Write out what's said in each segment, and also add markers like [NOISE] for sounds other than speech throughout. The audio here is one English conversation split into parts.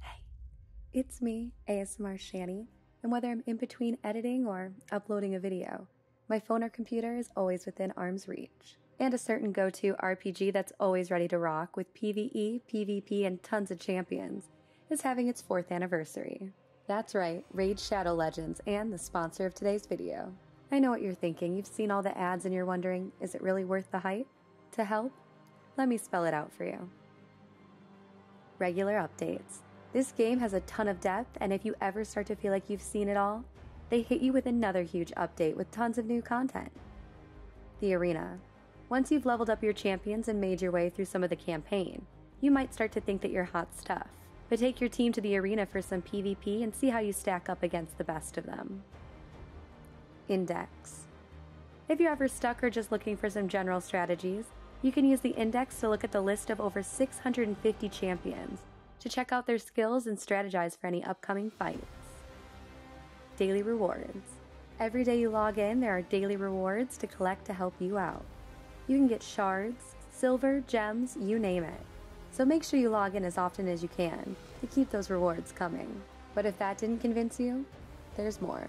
Hey, it's me, ASMR Shani, and whether I'm in between editing or uploading a video, my phone or computer is always within arm's reach. And a certain go to RPG that's always ready to rock with PvE, PvP, and tons of champions is having its fourth anniversary. That's right, Raid Shadow Legends and the sponsor of today's video. I know what you're thinking, you've seen all the ads and you're wondering, is it really worth the hype? to help, let me spell it out for you. Regular updates. This game has a ton of depth, and if you ever start to feel like you've seen it all, they hit you with another huge update with tons of new content. The Arena. Once you've leveled up your champions and made your way through some of the campaign, you might start to think that you're hot stuff, but take your team to the arena for some PvP and see how you stack up against the best of them. Index. If you're ever stuck or just looking for some general strategies, you can use the index to look at the list of over 650 champions to check out their skills and strategize for any upcoming fights. Daily rewards. Every day you log in, there are daily rewards to collect to help you out. You can get shards, silver, gems, you name it. So make sure you log in as often as you can to keep those rewards coming. But if that didn't convince you, there's more.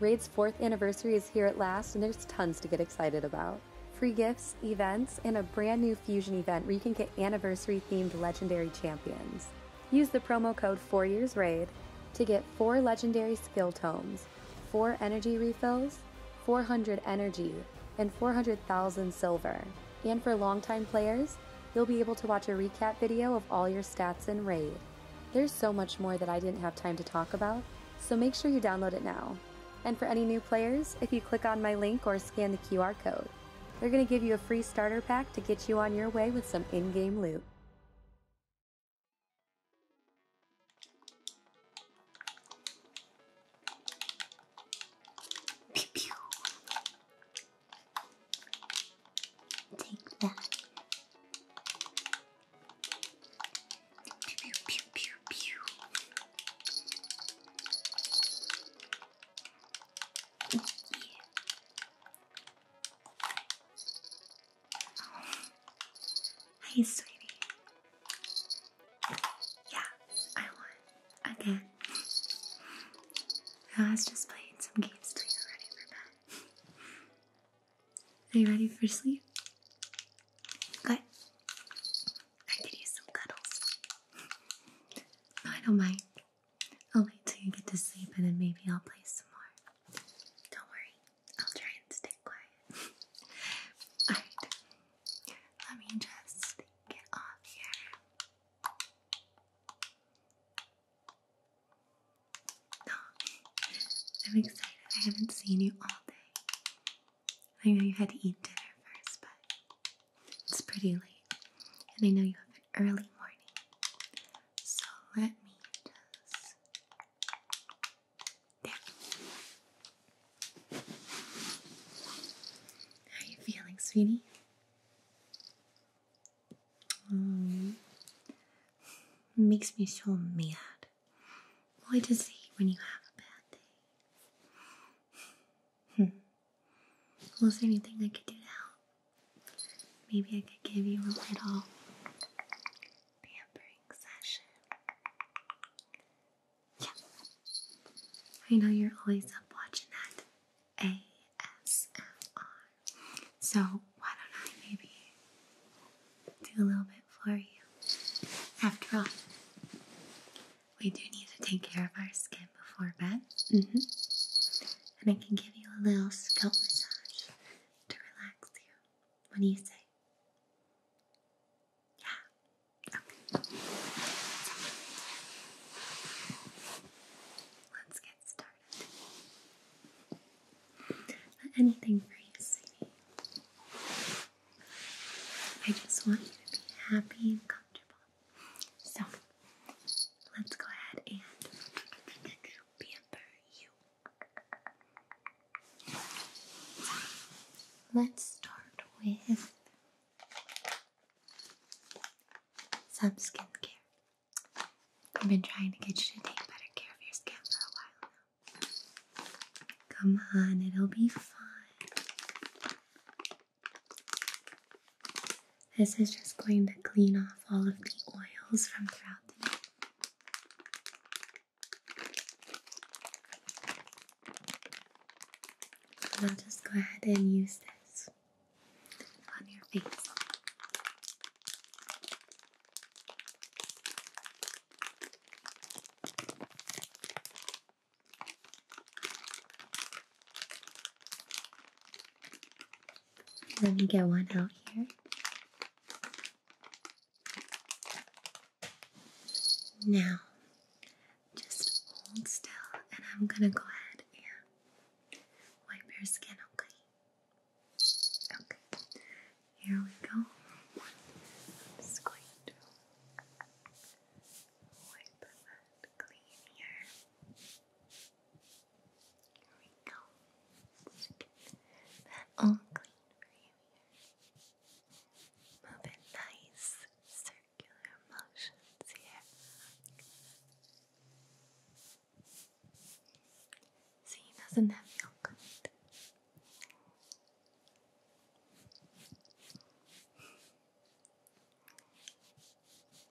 Raid's fourth anniversary is here at last, and there's tons to get excited about. Free gifts, events, and a brand new fusion event where you can get anniversary themed legendary champions. Use the promo code 4 Years Raid to get 4 legendary skill tomes, 4 energy refills, 400 energy, and 400,000 silver. And for longtime players, you'll be able to watch a recap video of all your stats in Raid. There's so much more that I didn't have time to talk about, so make sure you download it now. And for any new players, if you click on my link or scan the QR code, they're going to give you a free starter pack to get you on your way with some in game loot. Take that. Pew, oh. sweetie. Yeah, I won again. I was just playing some games are you ready for sleep? Good. I could use some cuddles. No, I don't mind. I'll wait till you get to sleep and then maybe I'll play some more. Don't worry, I'll try and stay quiet. [LAUGHS] Alright, let me just get off here. Oh, I'm excited. I haven't seen you all day. I know you had to eat dinner first, but it's pretty late, and I know you have an early morning. So let me just. There. How are you feeling, sweetie? Mm. Makes me so mad. Why does he when you have a bad day? Hmm. Was there anything I could do now? Maybe I could give you a little pampering session. Yeah. I know you're always up watching that ASMR. So, why don't I maybe do a little bit for you? After all, we do need to take care of our skin before bed. Mm-hmm. And I can give you a little scalp massage to relax you. What do you say? Yeah? Okay. Let's get started anything for you, sweetie. I just want you to be happy and comfortable. So, let's go ahead and pamper you. Let's start with some skincare. I've been trying to get you to take better care of your skin for a while now. Come on, it'll be fun. This is just going to clean off all of the oils from throughout the day. I'll just go ahead and use this on your face. Let me get one out here. Now, just hold still, and I'm gonna go ahead and wipe your skin, okay? Okay, here we go. just going to wipe that clean here. Here we go. let get that all clean for you here. Move in nice circular motions here. See, doesn't that feel good?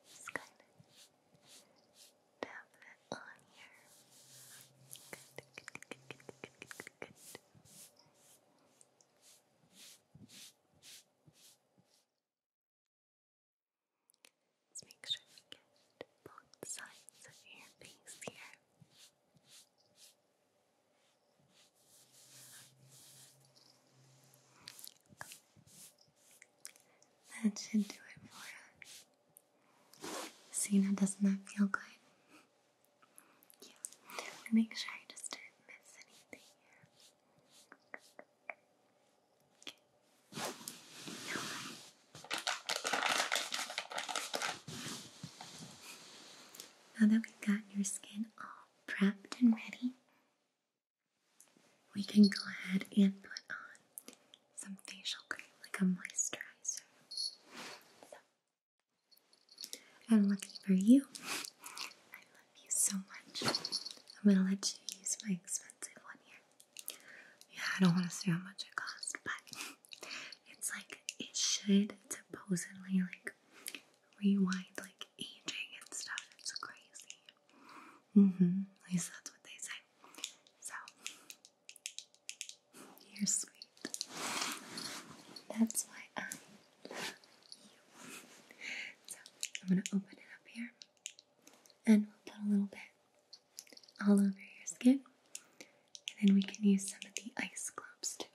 Just kind of tap that on here. good, good, good, good, good, good, good. Just make sure you get both sides of your face here. That should do it for us. See, now doesn't that feel good? Yeah. Make sure I just didn't miss anything here. Now that we've got your skin all prepped and ready, we can go ahead and put on some facial cream, like a moisturizer. I'm lucky for you. I love you so much. I'm gonna let you use my expensive one here. Yeah, I don't want to say how much it costs, but it's like it should supposedly like rewind like aging and stuff. It's crazy. Mm-hmm. At least that's what they say. So you're sweet. That's why I love you. So I'm gonna open it up here and we'll put a little bit all over your skin. And then we can use some of the ice globes to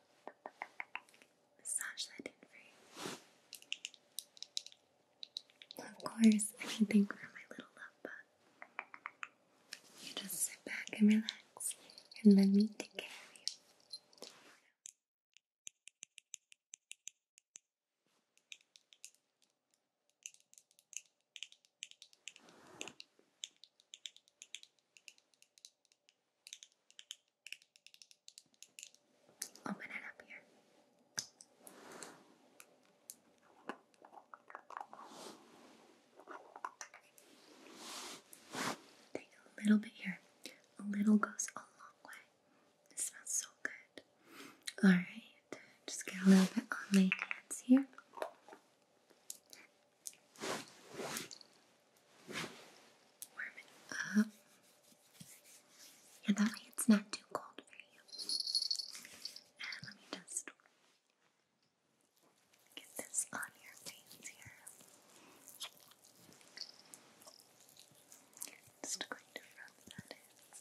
massage that in for you. Of course, anything for my little love bug. You just sit back and relax and let me take care of you. Open it up here. Take a little bit here. A little goes a long way. It smells so good. Alright, just get a little bit on my hands here. Warm it up. And that way it's not too cold for you. And let me just get this on your face here. Just going to rub that in.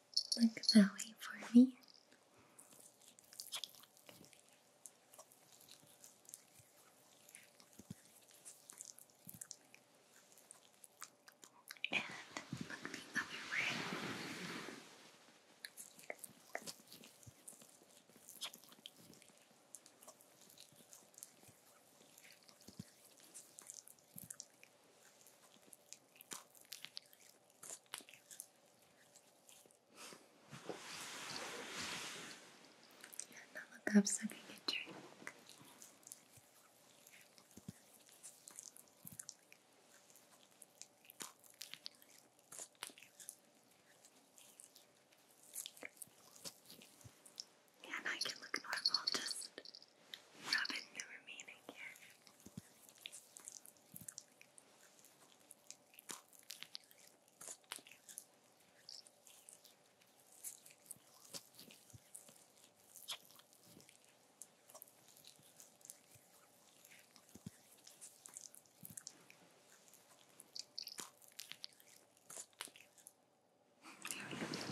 Look that way for me. And look the other way. Yeah, now I'm sucking a drink. Yeah, now you can look normal, just rub in the remaining hair. There we go.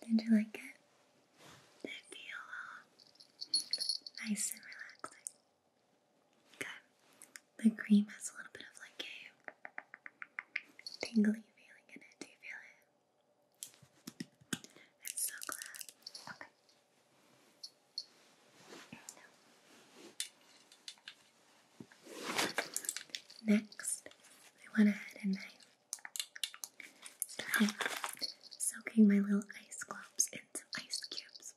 Did you like it? Did feel all uh, nice and relaxing? Good. The cream has a little bit of like a tingly feeling in it. Do you feel it? I'm so glad. Okay. Next, I went ahead and I'm soaking my little ice globes into ice cubes.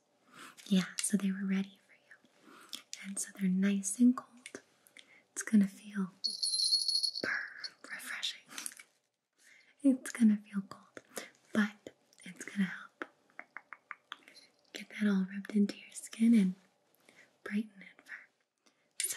Yeah, so they were ready for you. And so they're nice and cold. It's gonna feel refreshing. It's gonna feel cold, but it's gonna help get that all rubbed into your skin and brighten it for. So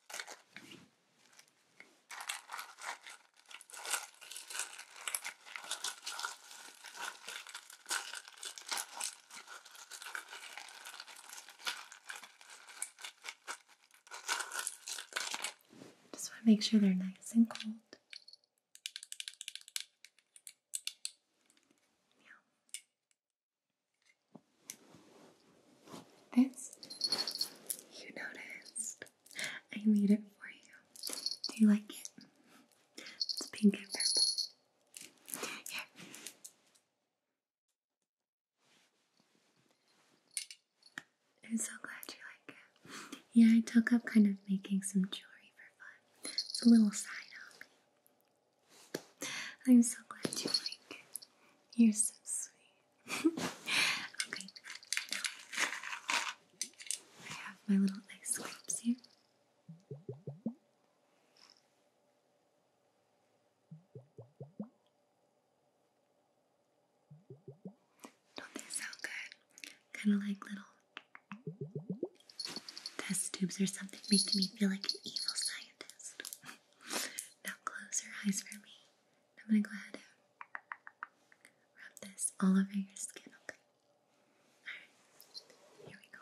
Just want to make sure they're nice and cold. Yeah. This, you noticed. I made it for you. Do you like it? It's pink and purple. Here. I'm so glad you like it. Yeah, I took up kind of making some jewelry for fun. It's a little side hobby. I'm so glad you like it. You're so sweet okay, I have my little ice cubes here. Don't they sound good? Kind of like little test tubes or something, making me feel like an evil scientist. [LAUGHS] now close your eyes for me. I'm gonna go ahead and rub this all over your skin, okay? Alright, here we go.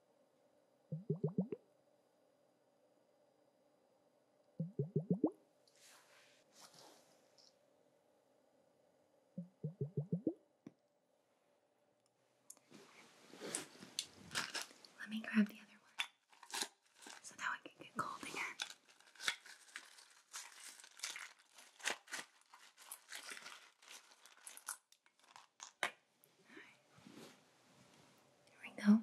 Let me grab the other one so that one can get cold again. There we go.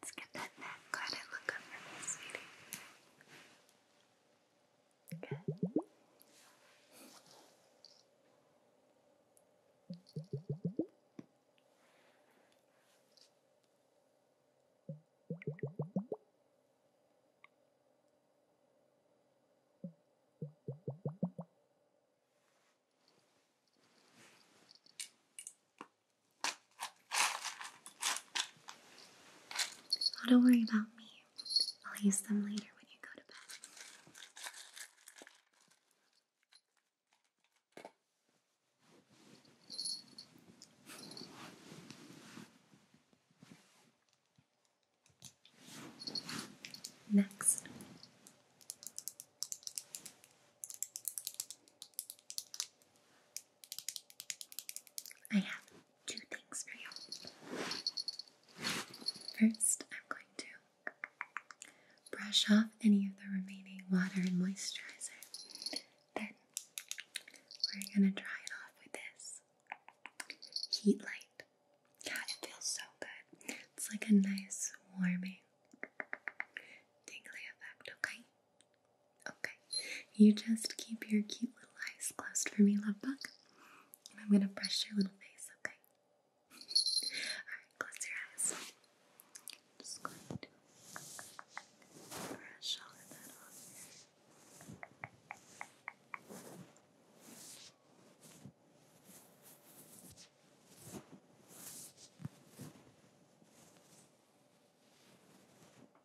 Let's get that neck. Glad I look up for me, sweetie don't worry about me. I'll use them later when you go to bed. Next. I have two things for you. First, I'm going to brush off any of the remaining water and moisturizer. Then, we're going to dry it off with this heat light. God, it feels so good. It's like a nice, warming, tingly effect, okay? Okay. You just keep your cute little eyes closed for me, love bug. I'm going to brush your little face, okay? Alright, close your eyes. just going to brush all of that off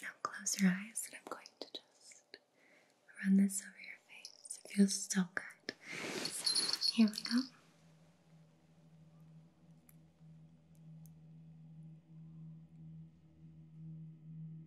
now close your eyes and I'm going to just run this over your face. It feels so good. here we go.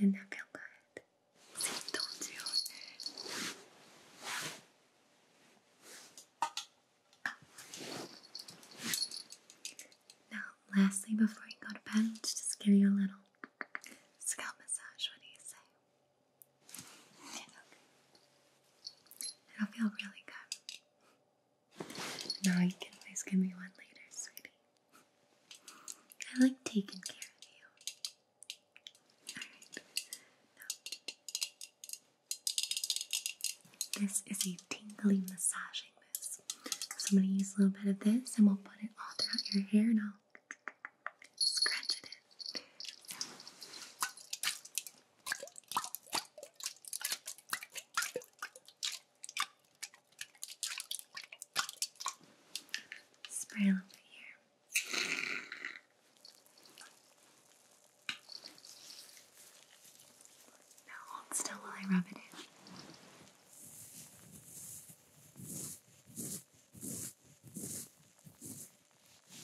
did that feel good? See, told you. Now, lastly, before you go to bed, let's just give you a little scalp massage. What do you say? Okay. That'll feel really good. Now you can always give me one later, sweetie. I like taking care of you. Alright. this is a tingling massaging mist. So I'm going to use a little bit of this and we'll put it all throughout your hair now scratching it. Spray over here. Now still while I rub it in.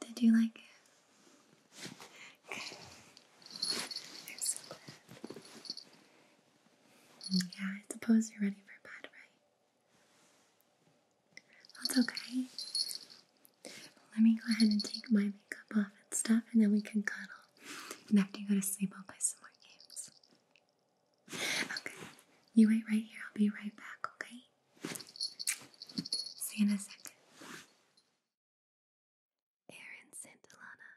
Did you like it? Yeah, I suppose you're ready for bed, right? That's okay. Let me go ahead and take my makeup off and stuff, and then we can cuddle. And after you go to sleep, I'll play some more games. Okay, you wait right here. I'll be right back, okay? See you in a second. Aaron Santillana,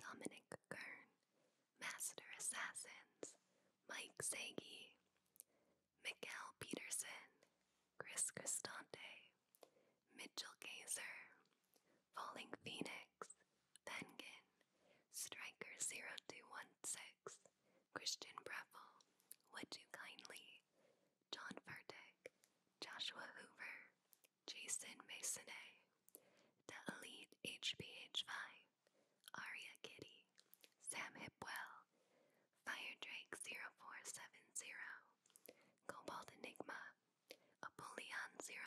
Dominic Kern, Master Assassins, Mike Segi, Mikkel Peterson, Chris Cristante, Mitchell Gazer, Falling Phoenix, Penguin, Striker 0216, Christian Breville, Would You Kindly, John Furtick, Joshua Hoover, Jason Masonay, The Elite HBH5, Aria Kitty, Sam Hipwell, Fire Drake 0470, Cobalt Enigma, Apollyon 001,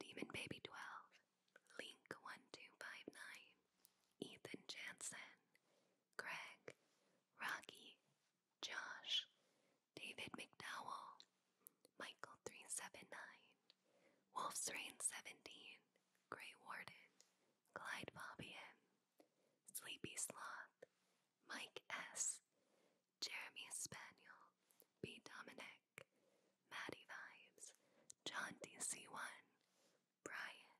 Demon Baby 12, Link 1259, Ethan Jansen, Greg, Rocky, Josh, David McDowell, Michael 379, Wolf's Rain 17, Grey Warden, Clyde Fabian, Sleepy Sloth, Mike S., Jeremy Spaniel, B. Dominic, Maddie Vibes, John DC1, Brian,